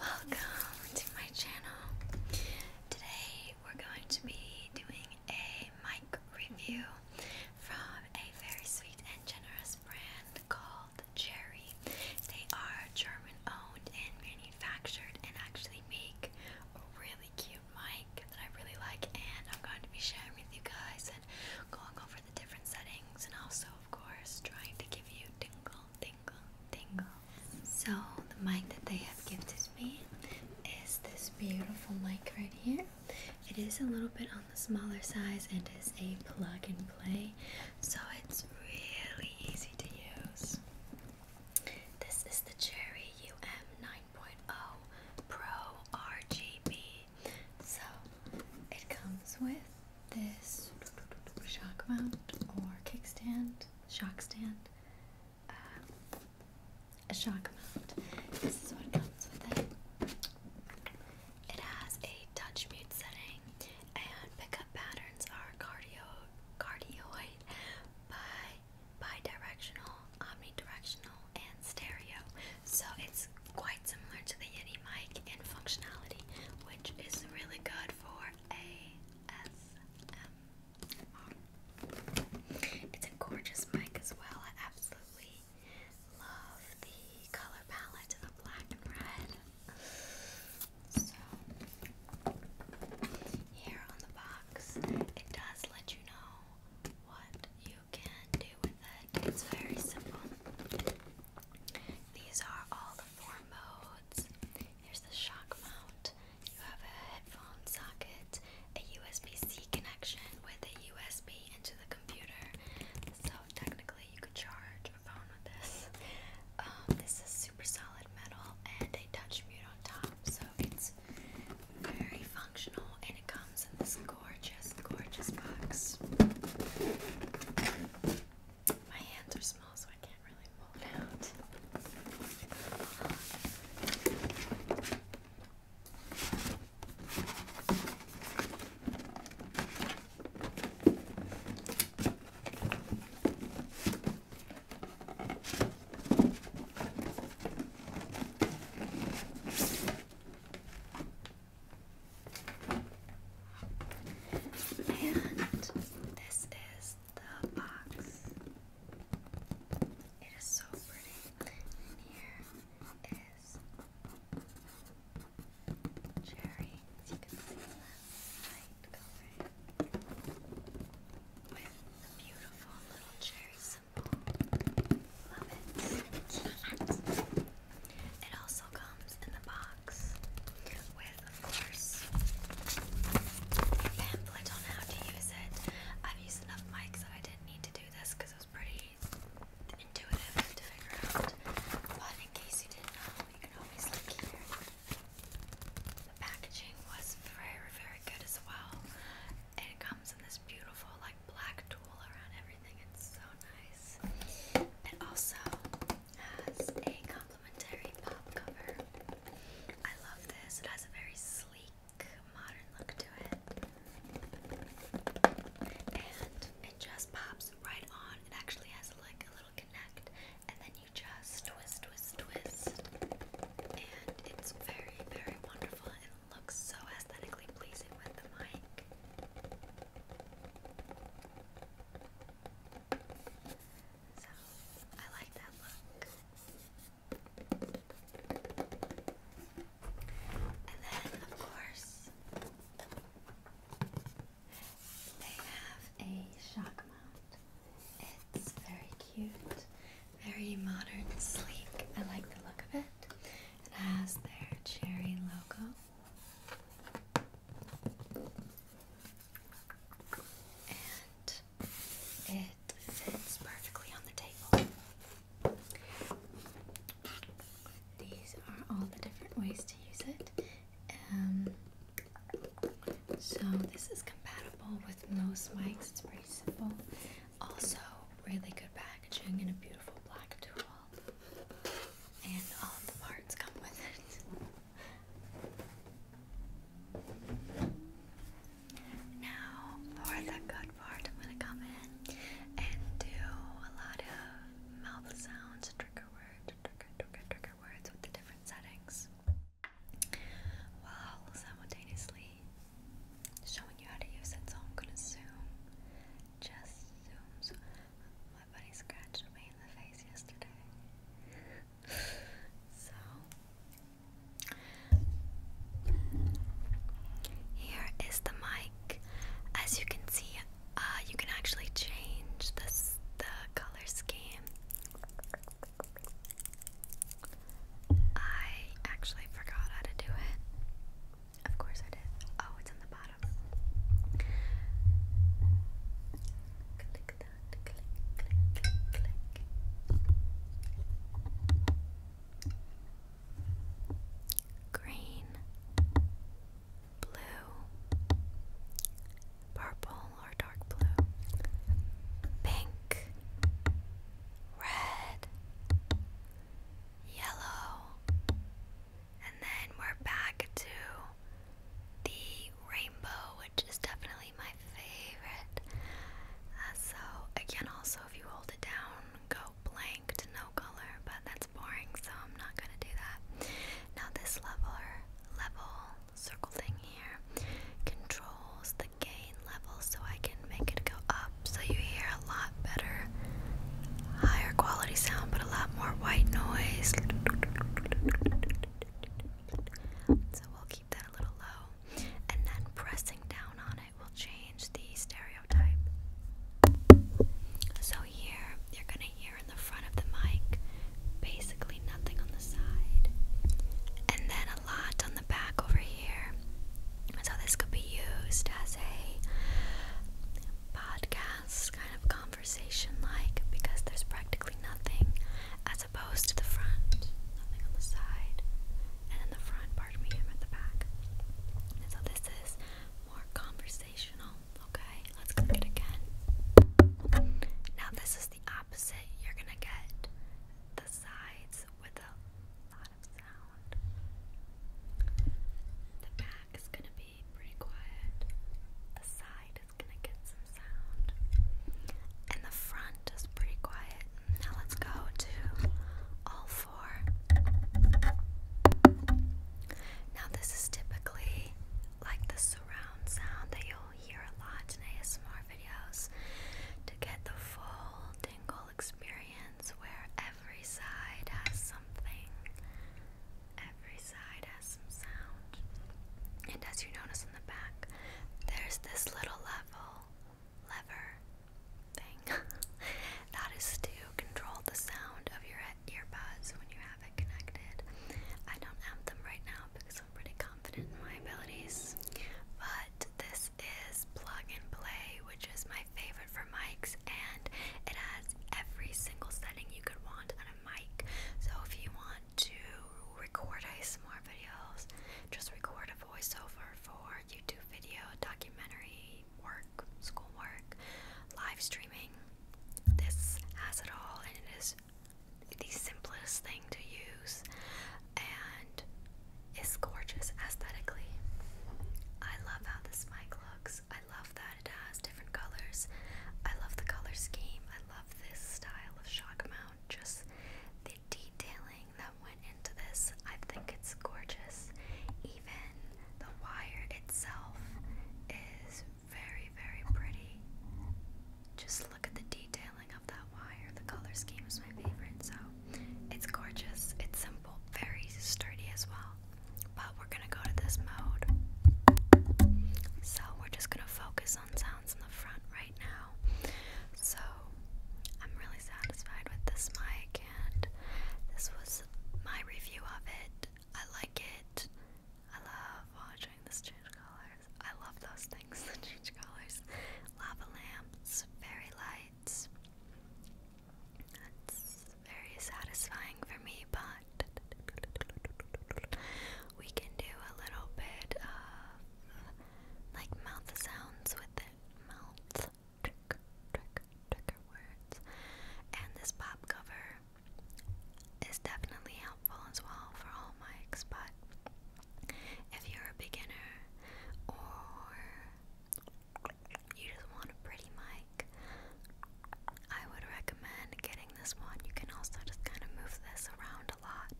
Welcome to my channel. Today we're going to be doing a mic review from a very sweet and generous brand called Cherry. They are German owned and manufactured and actually make a really cute mic that I really like and I'm going to be sharing with you guys and going over the different settings and also, of course, trying to give you tingle, tingle, tingle. So, the mic that they have gifted me is this beautiful mic right here. It is a little bit on the smaller size and is a plug and play, so it's really easy to use. This is the Cherry UM 9.0 Pro RGB. So, it comes with this shock mount or kickstand, shock stand, uh, a shock mount. This is what comes with it. It has a touch mute setting and pickup patterns are cardio cardioid by bi-directional, omnidirectional, and stereo. So it's quite similar to the Yeti mic in functionality, which is really good for ASMR. It's a gorgeous mic as well. I absolutely love the color palette of black and red. So, here on the box, it does let you know what you can do with it. It's very simple. These are all the four modes. Here's the shock mount. You have a headphone socket, a USB-C connection with a USB into the computer. So technically you could charge a phone with this. Um, this is super solid metal and a touch mute on top, so it's very functional and it comes in this gorgeous gorgeous, gorgeous box. My hands are small, so I can't really pull it out. And this is the box. It is so pretty. And here is cherry. As you can see light color with a beautiful little cherry symbol. Love it. It also comes in the box with, of course, pamphlet on how to use it. I've used enough mics that I didn't need to do this because it was pretty intuitive to figure out. But in case you didn't know, you can always look here. The packaging was very, very good as well. it comes in this beautiful, like, black tool around everything. It's so nice. It also has a complimentary pop cover. I love this. It has a very sleek, modern look to it. And it just pops right on. It actually has like a little connect, and then you just twist, twist, twist. And it's very, very wonderful. It looks so aesthetically pleasing with the mic. So, I like that look. And then, of course, they have a shock mount. It's very cute, very modern, sleek. I like the look of it. It has their cherry logo and it fits perfectly on the table. These are all the different ways to use it. Um, so this is compatible with most mics. It's pretty simple. Also, really good packaging and a beautiful black tool. And all the parts come with it. Now, for the good part, I'm gonna come in and do a lot of mouth sounds, trigger words, trigger, trigger, trigger words with the different settings while simultaneously showing you how to use it. So I'm gonna zoom just zooms. My buddy scratched me in the face yesterday. so, here is the mic. As you can see, uh, you can actually change this, the color scheme. I actually forgot how to do it. Of course I did. Oh, it's on the bottom. Green, blue, purple or dark blue, pink, red, yellow, and then we're back to the rainbow, which is definitely my favorite. Uh, so, again, also if you hold it down, go blank to no color, but that's boring, so I'm not gonna do that. Now, this leveler, level circle thing here controls the gain level, so I can make it go up so you hear a lot better, higher quality sound, but a lot more white noise. So we'll keep that a little low, and then pressing down on it will change the stereotype. So here you're gonna hear in the front of the mic basically nothing on the side, and then a lot on the back over here. So this could be used as a podcast kind of conversation like because there's practically nothing as opposed to the front, nothing on the side, and in the front, pardon me, I'm at the back. so this is more conversational. Okay, let's click it again. Now this is the opposite. You're gonna get the sides with a lot of the back is going to be pretty quiet. The side is going to get some sound. And the front is pretty quiet. Now let's go to all four. Now this is typically like the surround sound that you'll hear a lot in ASMR videos to get the full tingle experience where every side has something, every side has some sound. And as you notice in the back, there's this little level lever thing that is to control the sound of your earbuds when you have it connected. I don't have them right now because I'm pretty confident in my abilities, but this is plug and play which is my favorite for mics, and it has every single setting you could want on a mic. So if you want to record ASMR videos, just record a voiceover for YouTube video, documentary, work, schoolwork, live streaming. This has it all, and it is the simplest thing to use. And is gorgeous aesthetically. I love how this mic looks. I love that it has different colors. I love the color scheme. I love this style of shock mount. Just the detailing that went into this. I think it's gorgeous. Even the wire itself is very, very pretty. Just look at the detailing of that wire. The color scheme is my favorite, so it's gorgeous, it's simple, very sturdy as well. But we're gonna go to this mode. So we're just gonna focus on sounds in the front right now. So I'm really satisfied with this mic, and this was my review of it. I like it. I love watching this change colors. I love those things that change colors. Lava lamps, fairy lights. That's very satisfying for me, but we can do a little bit of like mouth sounds with it. Mouth trick, trick, trigger words. And this pop cover is definitely helpful as well for all mics, but if you're a beginner or you just want a pretty mic, I would recommend getting this one. You can also just kind of move this around a lot,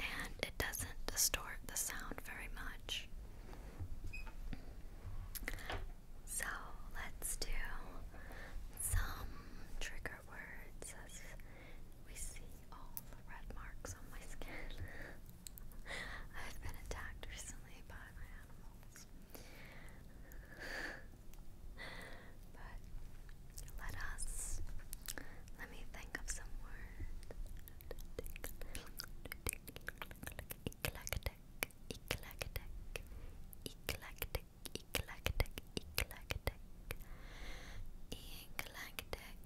and it doesn't distort the sound very much. So let's do some trigger words we see all the red marks on my skin. I've been attacked recently by my animals. but let us let me think of some word.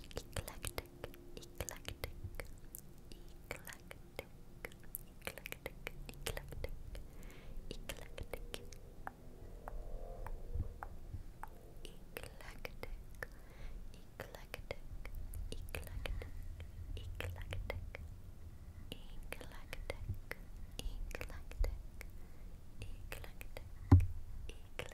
eclectic, eclectic, eclectic, eclectic, eclectic, eclectic, eclectic, eclectic, eclectic, eclectic. Eclectic, eclectic, eclectic, eclectic,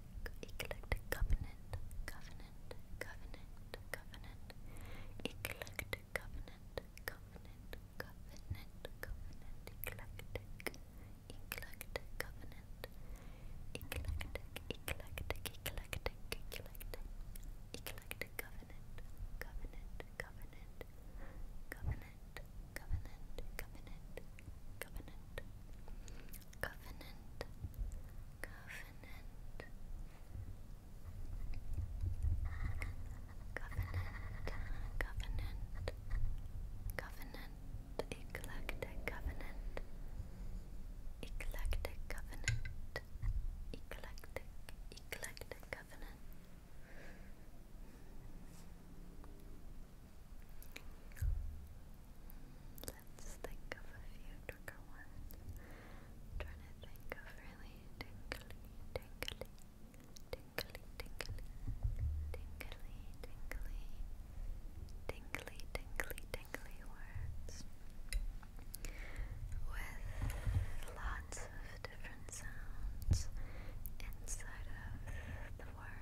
eclectic covenant, covenant, covenant, covenant, eclectic covenant, covenant, covenant, covenant, eclectic, eclectic covenant, eclectic, eclectic, eclectic, eclectic, eclectic covenant, covenant, covenant, covenant, covenant, covenant, covenant. Covenant, covenant, covenant, Covenant. Covenant. Covenant. Covenant. Eclectic Covenant. Eclectic Covenant. Eclectic. Eclectic Covenant. Let's think of a few trigger ones. trying to think of really tingly, tingly, tingly, tingly, tingly, tingly, tingly, tingly, tingly words with lots of different sounds inside of the word.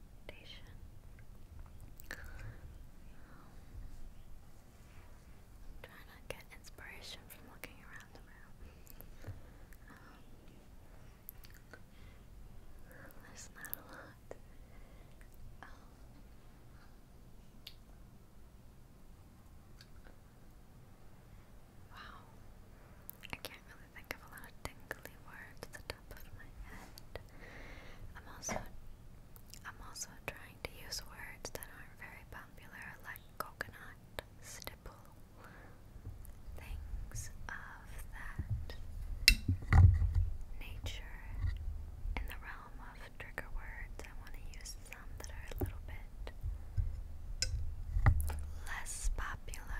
foundation. Um, try not get inspiration from looking around the room. Um, there's not a lot. Um, wow, I can't really think of a lot of tingly words I'm also I'm also trying to use words that aren't very popular like coconut, stipple, things of that nature. In the realm of trigger words, I want to use some that are a little bit less popular.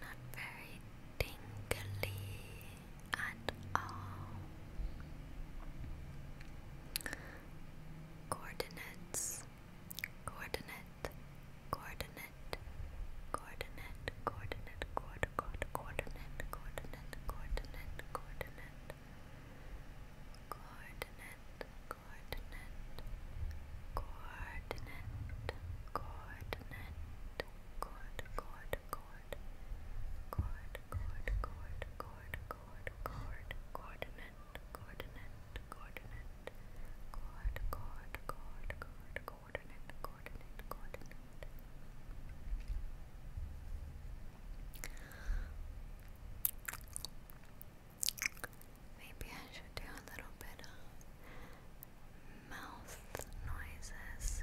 Not very tingly at all. Coordinates, coordinate, coordinate, coordinate, coordinate, cord, cord, coordinate, coordinate, coordinate, coordinate, coordinate, coordinate, coordinate, coordinate, coordinate, coordinate, cord, cord, cord, cord, cord, cord, coordinate, coordinate, coordinate, coordinate, coordinate, coordinate. Maybe I should do a little bit of mouth noises.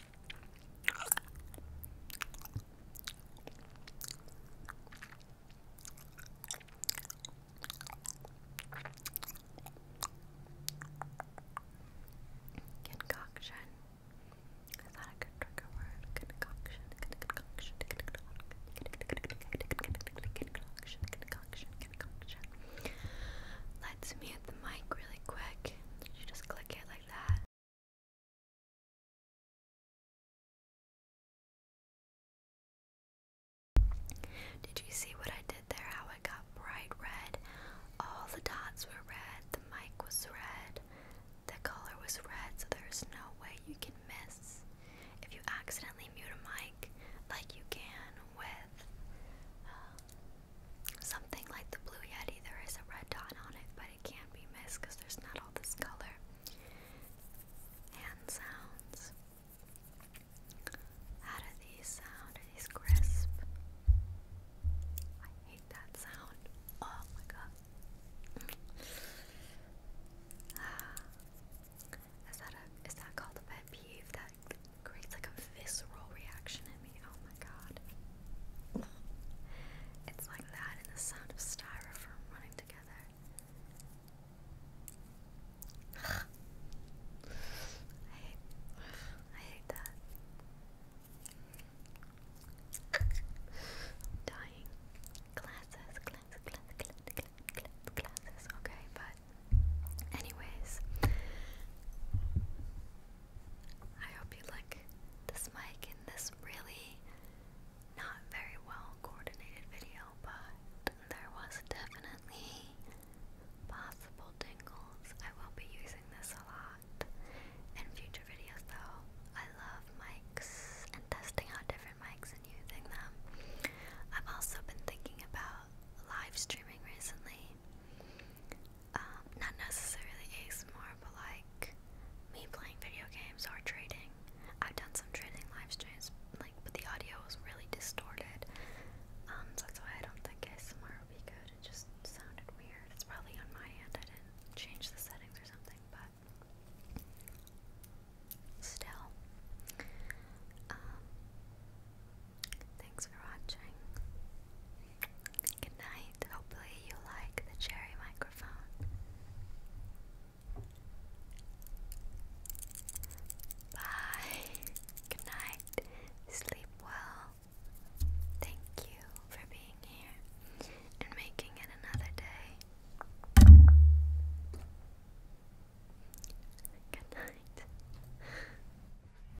Concoction. Is that a good trigger word? Concoction. Concoction. Concoction. Concoction. Concoction. Let's mute the mic really quick. You just click it like that. Did you see what I did there? How it got bright red? All the dots were red, the mic was red, the color was red, so there's no way you can miss. If you accidentally mute a mic, like you can with uh, something like the Blue Yeti, there is a red dot on it, but it can't be missed because there's not all this color. Hand sounds. How do these sound? these crisp? I hate that sound. Oh my god. Ah. is that a is that called a pet peeve that creates like a visceral reaction in me. Oh my god. It's like that and the sound of styrofoam running together. I hate, I hate that. Dying. Glasses, glasses, glasses, glasses, Okay, but anyways, I hope you like this mic in this really not very well coordinated video, but there was definitely possible tingles. I will be using this a lot in future videos though. I love mics and testing out different mics and using them. I've also been thinking about live streaming recently um, not necessarily ASMR, but like me playing video games or trading. I've done some trading live streams, like, but the audio was really distorted. Um, so that's why I don't think ASMR would be good. It just sounded weird. It's probably on my end. I didn't change the settings or something, but still. Um, Thanks for watching. Good night. Hopefully, you like the cherry microphone. Bye. Good night. Sleep well. Thank you for being here and making it another day. Good night.